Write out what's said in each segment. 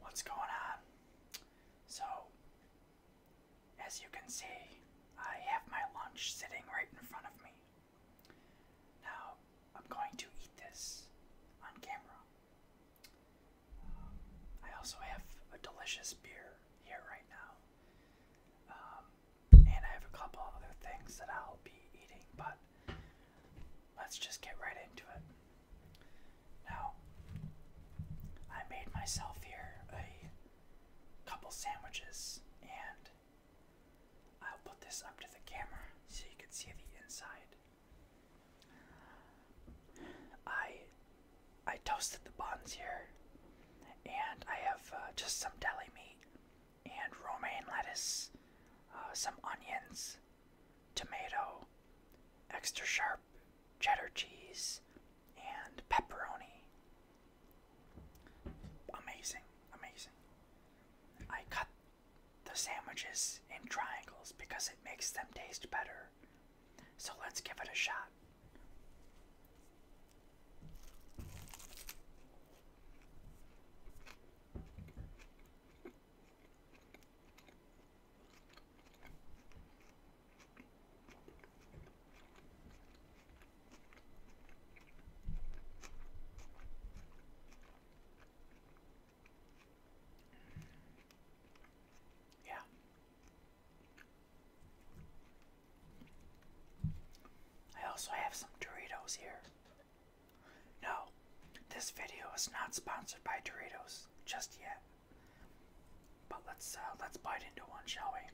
What's going on? So, as you can see, I have my lunch sitting right in front of me. Now, I'm going to eat this on camera. Um, I also have a delicious beer here right now. Um, and I have a couple other things that I'll be eating, but let's just get right into it. Now, I made myself here a couple sandwiches and I'll put this up to the camera so you can see the inside. I I toasted the buns here and I have uh, just some deli meat and romaine lettuce, uh, some onions, tomato, extra sharp cheddar cheese, and pepperoni. Amazing, amazing. I cut the sandwiches in triangles because it makes them taste better. So let's give it a shot. Yeah. I also have some Doritos here. No, this video is not sponsored by Doritos just yet. But let's uh, let's bite into one, shall we?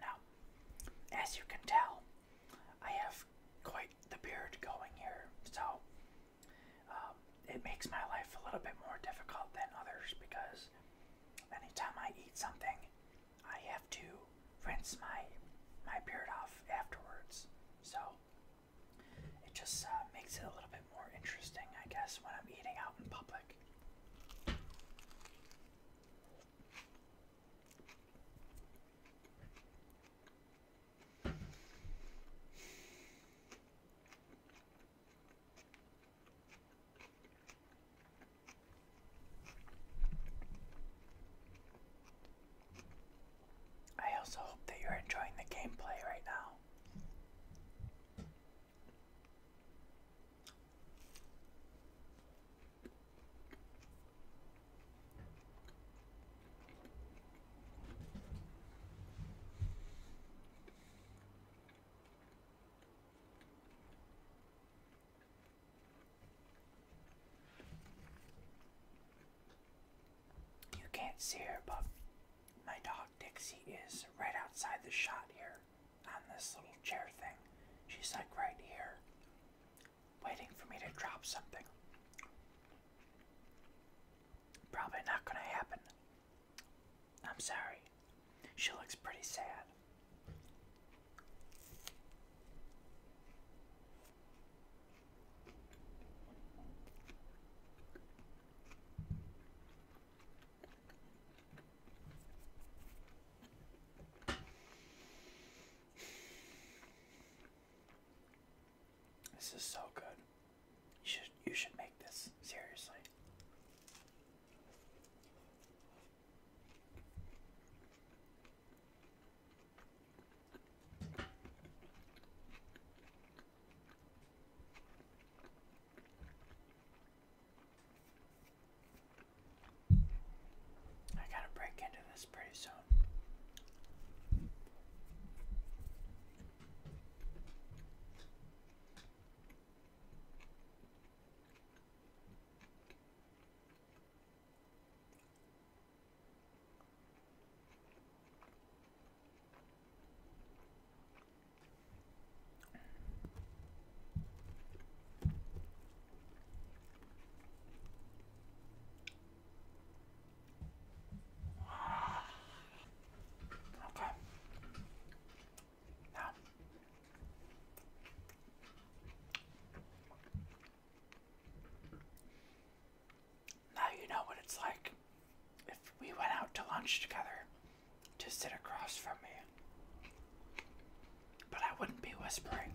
Now, as you can tell, I have quite the beard going here, so um, it makes my life a little bit more difficult than others because anytime I eat something, I have to rinse my my beard off afterwards. So it just uh, makes it a little bit more interesting, I guess, when I'm eating out in public. I also hope that you're enjoying the gameplay right now. You can't see her, but my dog Dixie is right outside the shot here on this little chair thing. She's like right here, waiting for me to drop something. Probably not gonna happen. I'm sorry. She looks pretty sad. This is so good. You should you should make this seriously. I gotta break into pretty soon. Okay. Now, now you know what it's like if we went out to lunch together to sit across from me. But I wouldn't be whispering.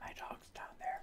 My dog's down there.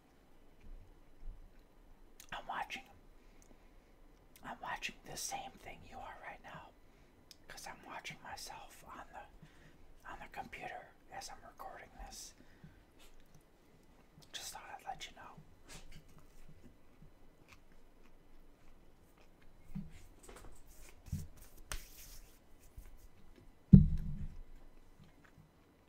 I'm watching. I'm watching the same thing you are right now, because I'm watching myself on the on the computer as I'm recording this. Just thought I'd let you know.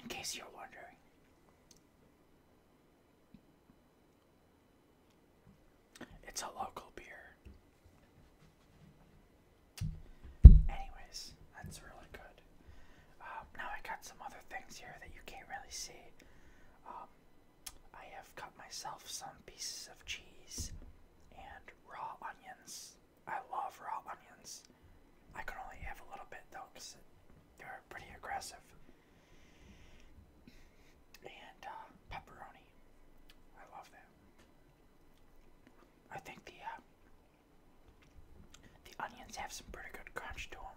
In case you're wondering. It's a local beer. Anyways, that's really good. Um, now I got some other things here that you can't really see. Um, I have cut myself some pieces of cheese and raw onions. I love raw onions. I can only have a little bit though because they're pretty aggressive. And uh, pepperoni. I love that. I think the uh, the onions have some pretty good crunch to them.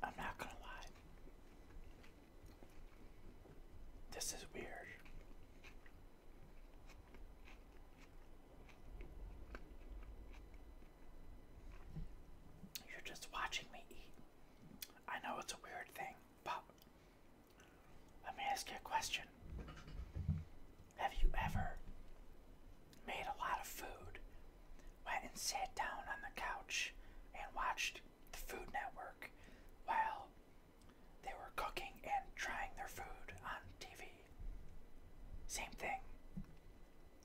I'm not gonna lie. This is weird. You're just watching me eat. I know it's a weird thing, but let me ask you a question. Have you ever made a lot of food, went and sat down on the couch, and watched the Food Network while they were cooking and trying their food on TV? Same thing.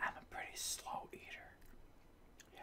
I'm a pretty slow eater. Yeah.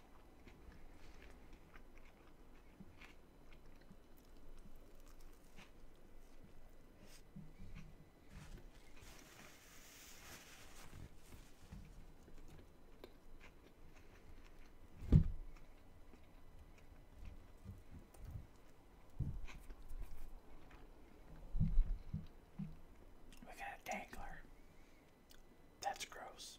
We got a dangler. That's gross.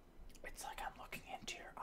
It's like I'm looking into your eye.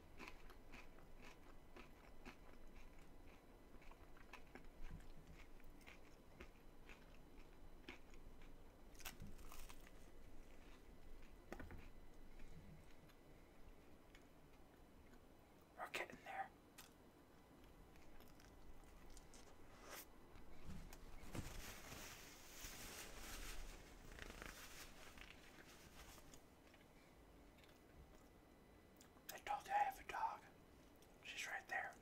We're getting there. I told you I have a dog. She's right there.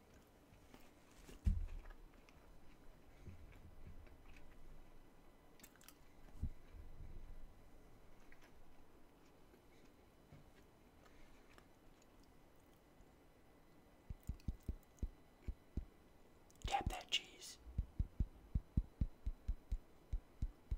Tap that cheese.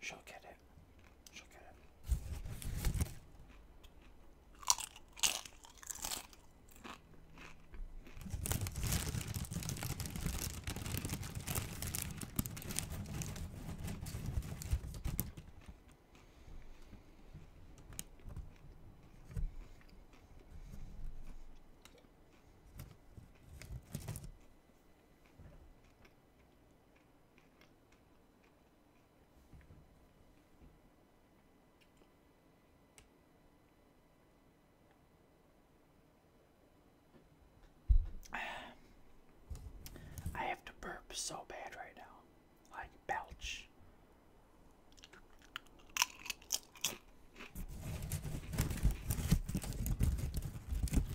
She'll get it. She'll get it. I have to burp so bad right now. Like belch.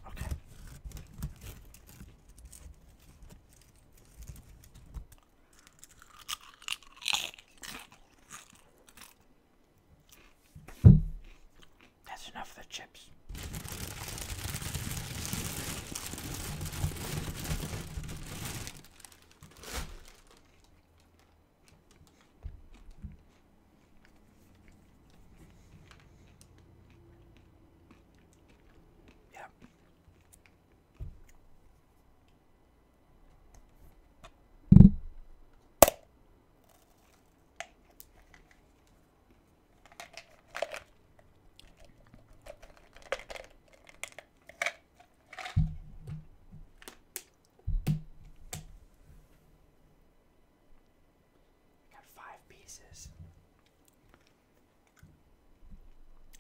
Okay. That's enough of the chips. Yep, I got five pieces.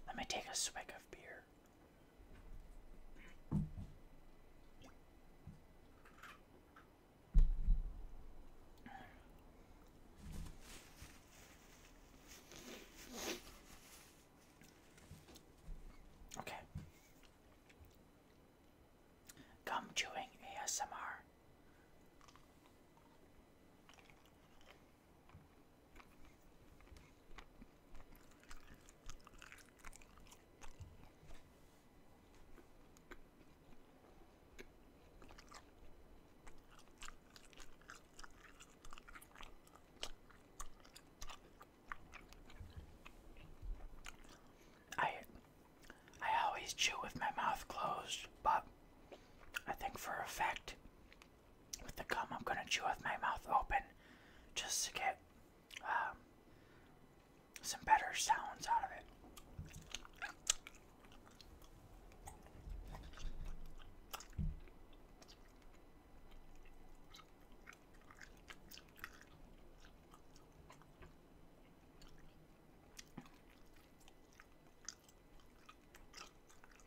Let me take a swig of beer. Okay. Gum chewing ASMR. I I always chew with my mouth closed, but I think for effect with the gum I'm gonna chew with my mouth open just to get um, some better sounds out of it.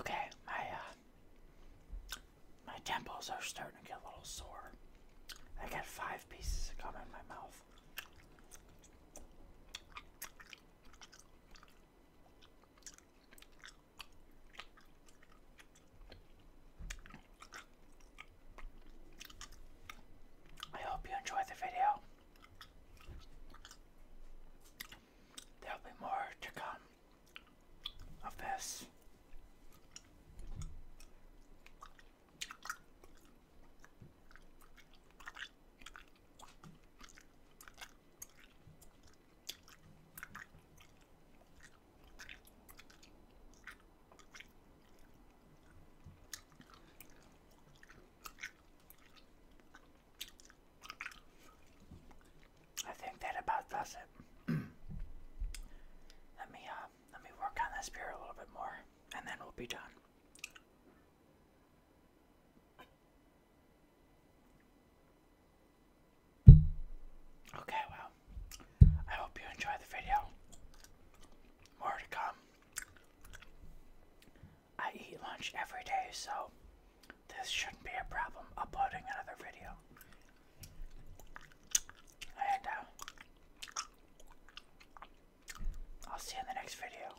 Okay, my uh, my temples are starting to get a little sore. I got five pieces of gum in my mouth. I hope you enjoyed the video. There'll be more to come of this. I think that about does it. let me uh, let me work on this beer a little bit more, and then we'll be done. Okay, well, I hope you enjoyed the video. More to come. I eat lunch every day, so this shouldn't be a problem uploading another video. And uh, I'll see you in the next video.